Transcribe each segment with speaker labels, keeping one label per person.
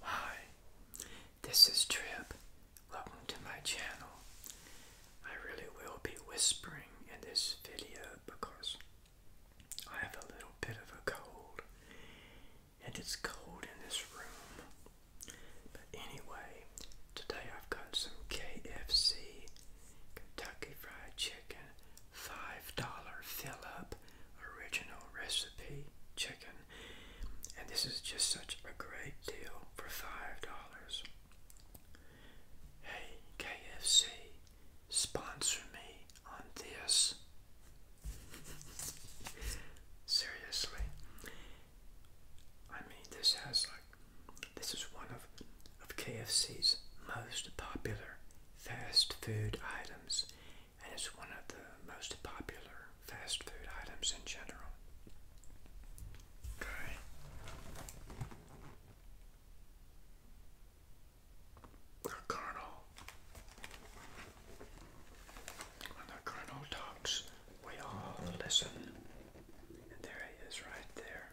Speaker 1: Hi, this is Trip. Welcome to my channel. I really will be whispering in this video because I have a little bit of a cold and it's cold in this room. But anyway, today I've got some KFC Kentucky Fried Chicken $5 fill up original recipe chicken. And this is just such a great deal for $5. Hey, KFC, sponsor me on this. Seriously. I mean, this has like, this is one of, of KFC's most popular fast food items and it's one of the most popular fast food items in general. The Colonel. When the Colonel talks, we all listen. And there he is right there.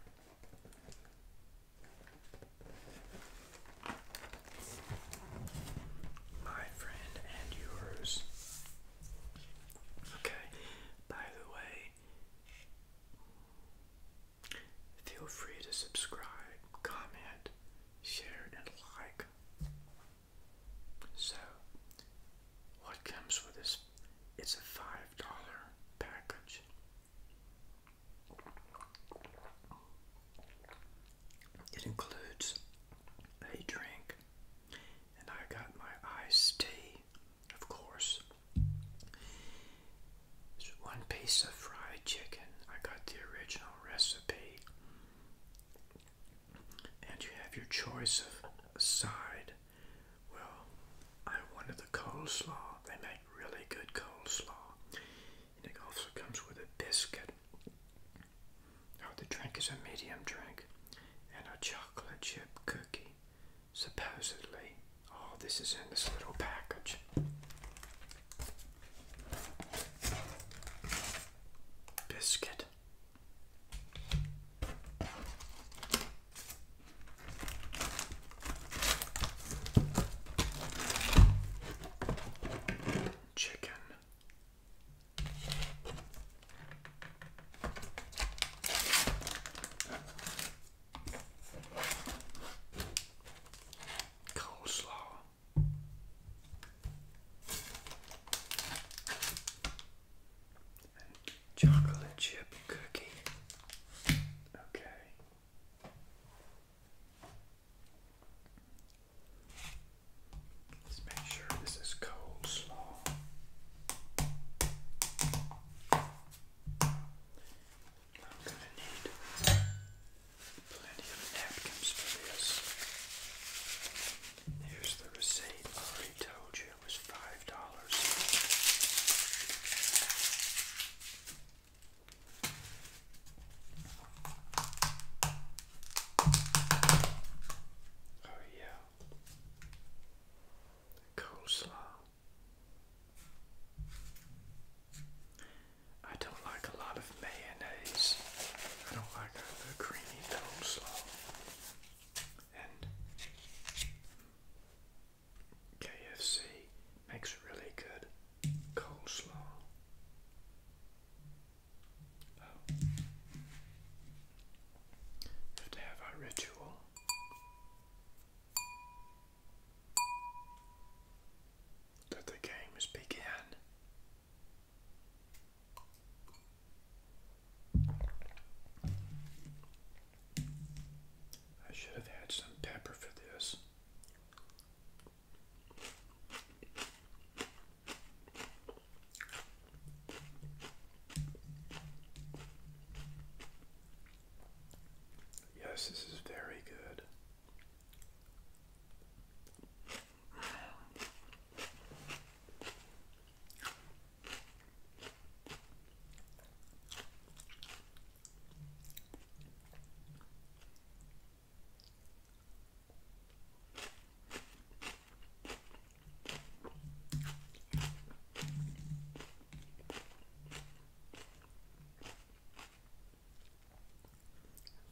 Speaker 1: My friend and yours. Okay, by the way, feel free to subscribe, comment, share, and like. So, what comes with this? It's a $5 package. It includes a drink, and I got my iced tea, of course. There's one piece of fried chicken. I got the original recipe. And you have your choice of side. Well, I wanted the coleslaw. They make really good coleslaw and it also comes with a biscuit. Oh, the drink is a medium drink and a chocolate chip cookie, supposedly. Oh, this is in this little package. Biscuit chicken. Coleslaw. chocolate chip cookie. Okay. Let's make sure this is cold slaw. I'm going to need plenty of napkins for this. Here's the receipt. I already told you it was $5. Oh yeah. Coleslaw. I don't like a lot of mayonnaise. I don't like a, a creamy coleslaw. And KFC makes really good coleslaw. Oh. have to have our ritual. That the game games began. I should have had some pepper for this. Yes, this is very good.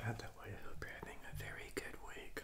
Speaker 1: By the way, I hope you're having a very good week.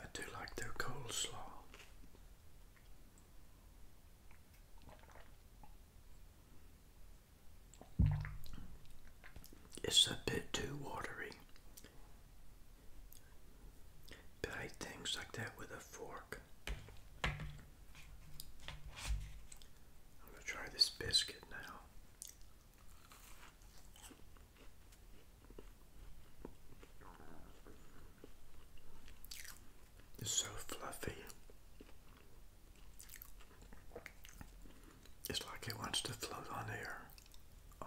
Speaker 1: I do like their coleslaw. It's a bit too watery. But I things like that with a fork. I'm going to try this biscuit now. It's so fluffy. It's like it wants to float on air. Oh.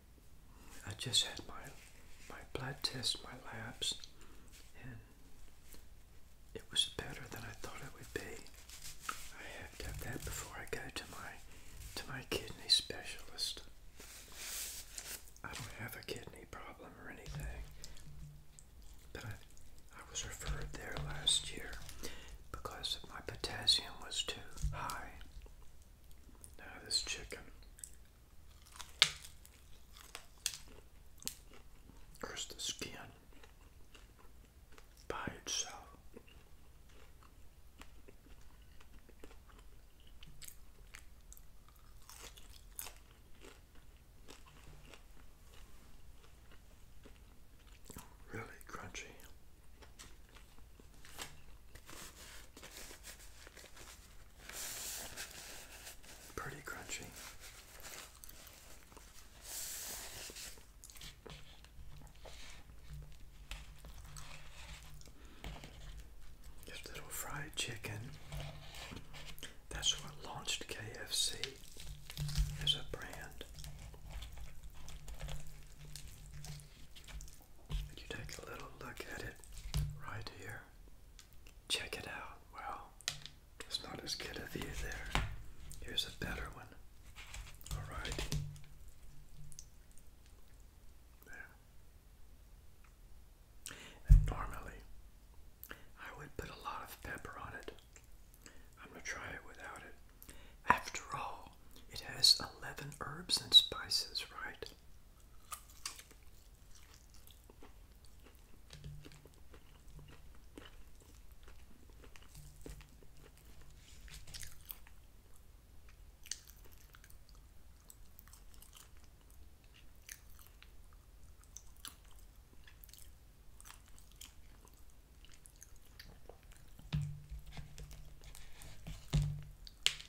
Speaker 1: I just had my my blood test, my labs, and it was better than I thought it would be. I have to have that before I go to my to my kidney specialist. I don't have a kidney problem or anything, but I, I was referred there last year because my potassium was too high. Now, this chicken. There's the skin by itself. Really crunchy. Pretty crunchy. Just little fried chicken. That's what launched KFC as a brand you take a little look at it right here. Check it out. Well, it's not as good a view there. Here's a better one. All right. There. normally, I would put a lot of pepper on it. I'm going to try it without it. After all, it has 11 herbs and spices, right?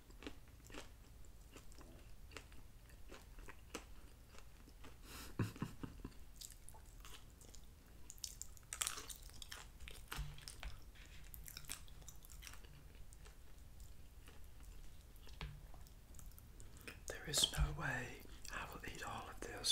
Speaker 1: there is no way I will eat all of this.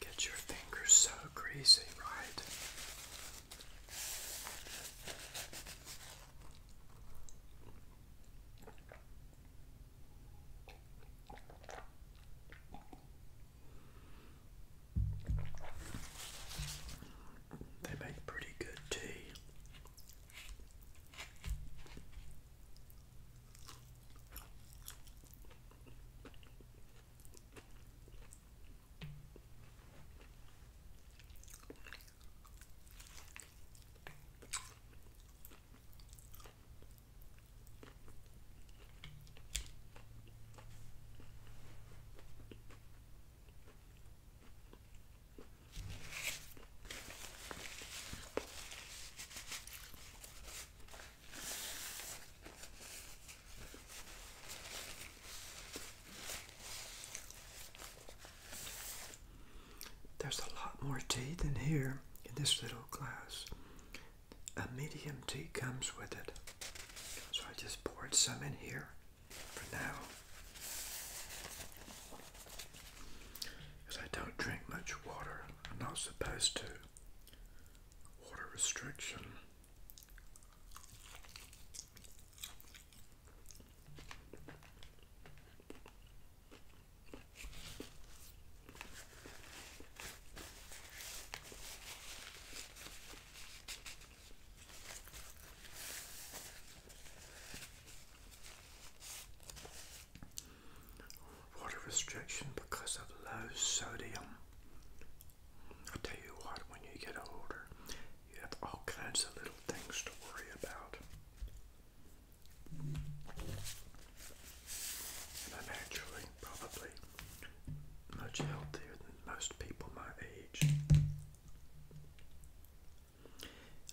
Speaker 1: Get your fingers so greasy, right? They make pretty good tea. There's a lot more teeth in here in this little glass a medium tea comes with it. So I just poured some in here for now. I don't drink much water. I'm not supposed to. Water restriction. Water restriction because of low sodium. i tell you what, when you get older, you have all kinds of little things to worry about. And probably much healthier than most people my age.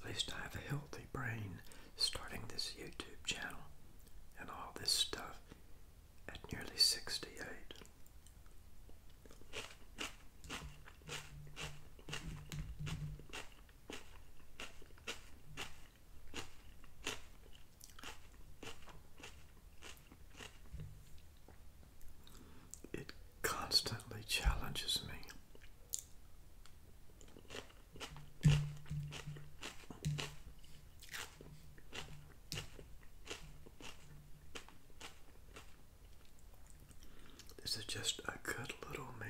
Speaker 1: At least I have a healthy brain starting this YouTube channel and all this stuff at nearly 68. It constantly challenges me. This is just a good little meal.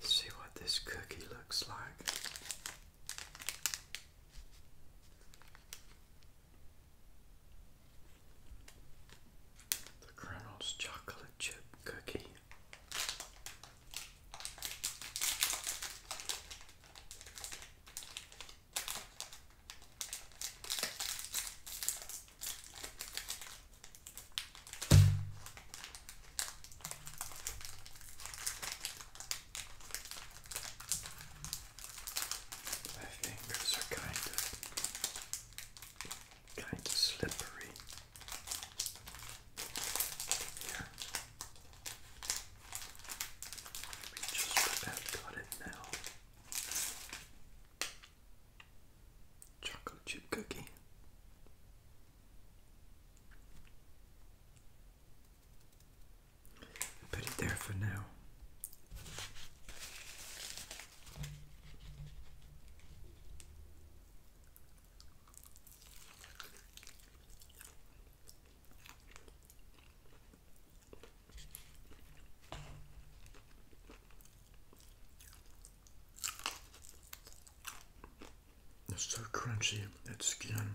Speaker 1: See what this cookie looks like. The Colonel's chocolate chip cookie. My fingers are kind of kind of slippery. Here. We just about got it now chocolate chip cookie. Put it there for now. It's so crunchy, that skin.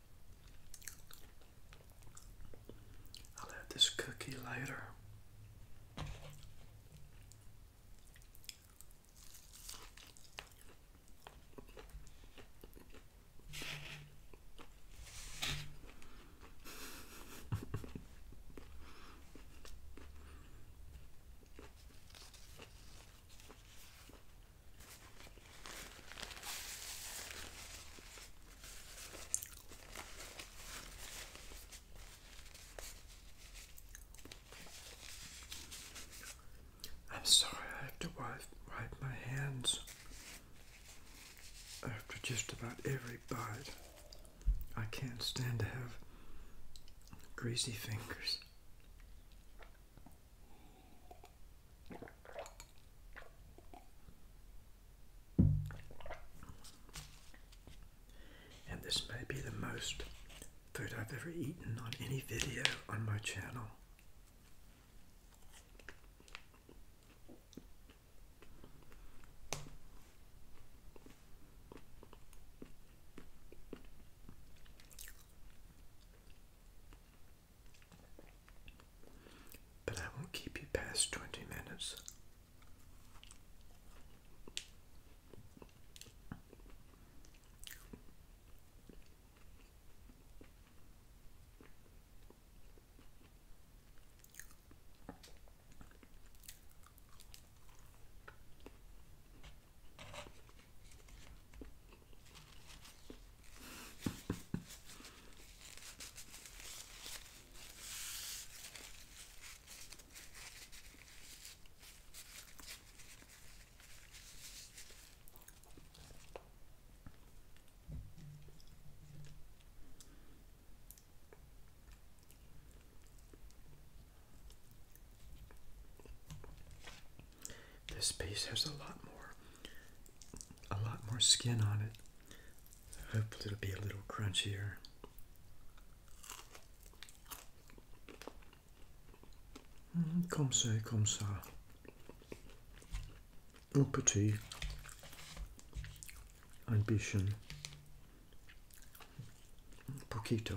Speaker 1: I'll have this cookie later. I'm sorry I have to wipe, wipe my hands after just about every bite. I can't stand to have greasy fingers. And this may be the most food I've ever eaten on any video on my channel. But I won't keep you past 20 minutes. This piece has a lot more a lot more skin on it. Hopefully, it'll be a little crunchier. Mm, comme ça, comme ça. Un petit ambition. Un poquito.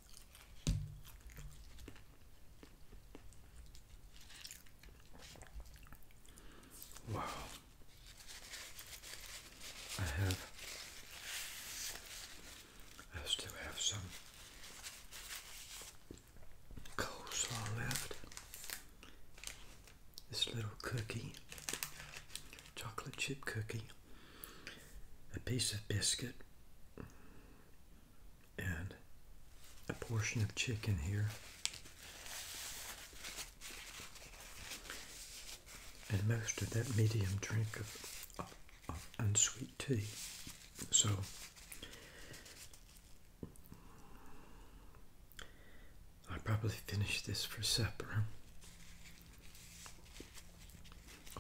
Speaker 1: Wow. I have I still have some coleslaw left. This little cookie, chocolate chip cookie, a piece of biscuit, and a portion of chicken here. And most of that medium drink of, unsweet tea. So I probably finished this for supper.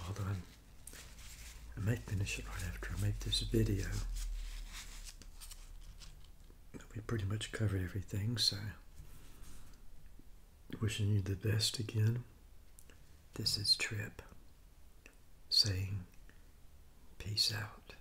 Speaker 1: Although I may finish it right after I make this video. We pretty much covered everything, so wishing you the best again. This is Trip saying peace out.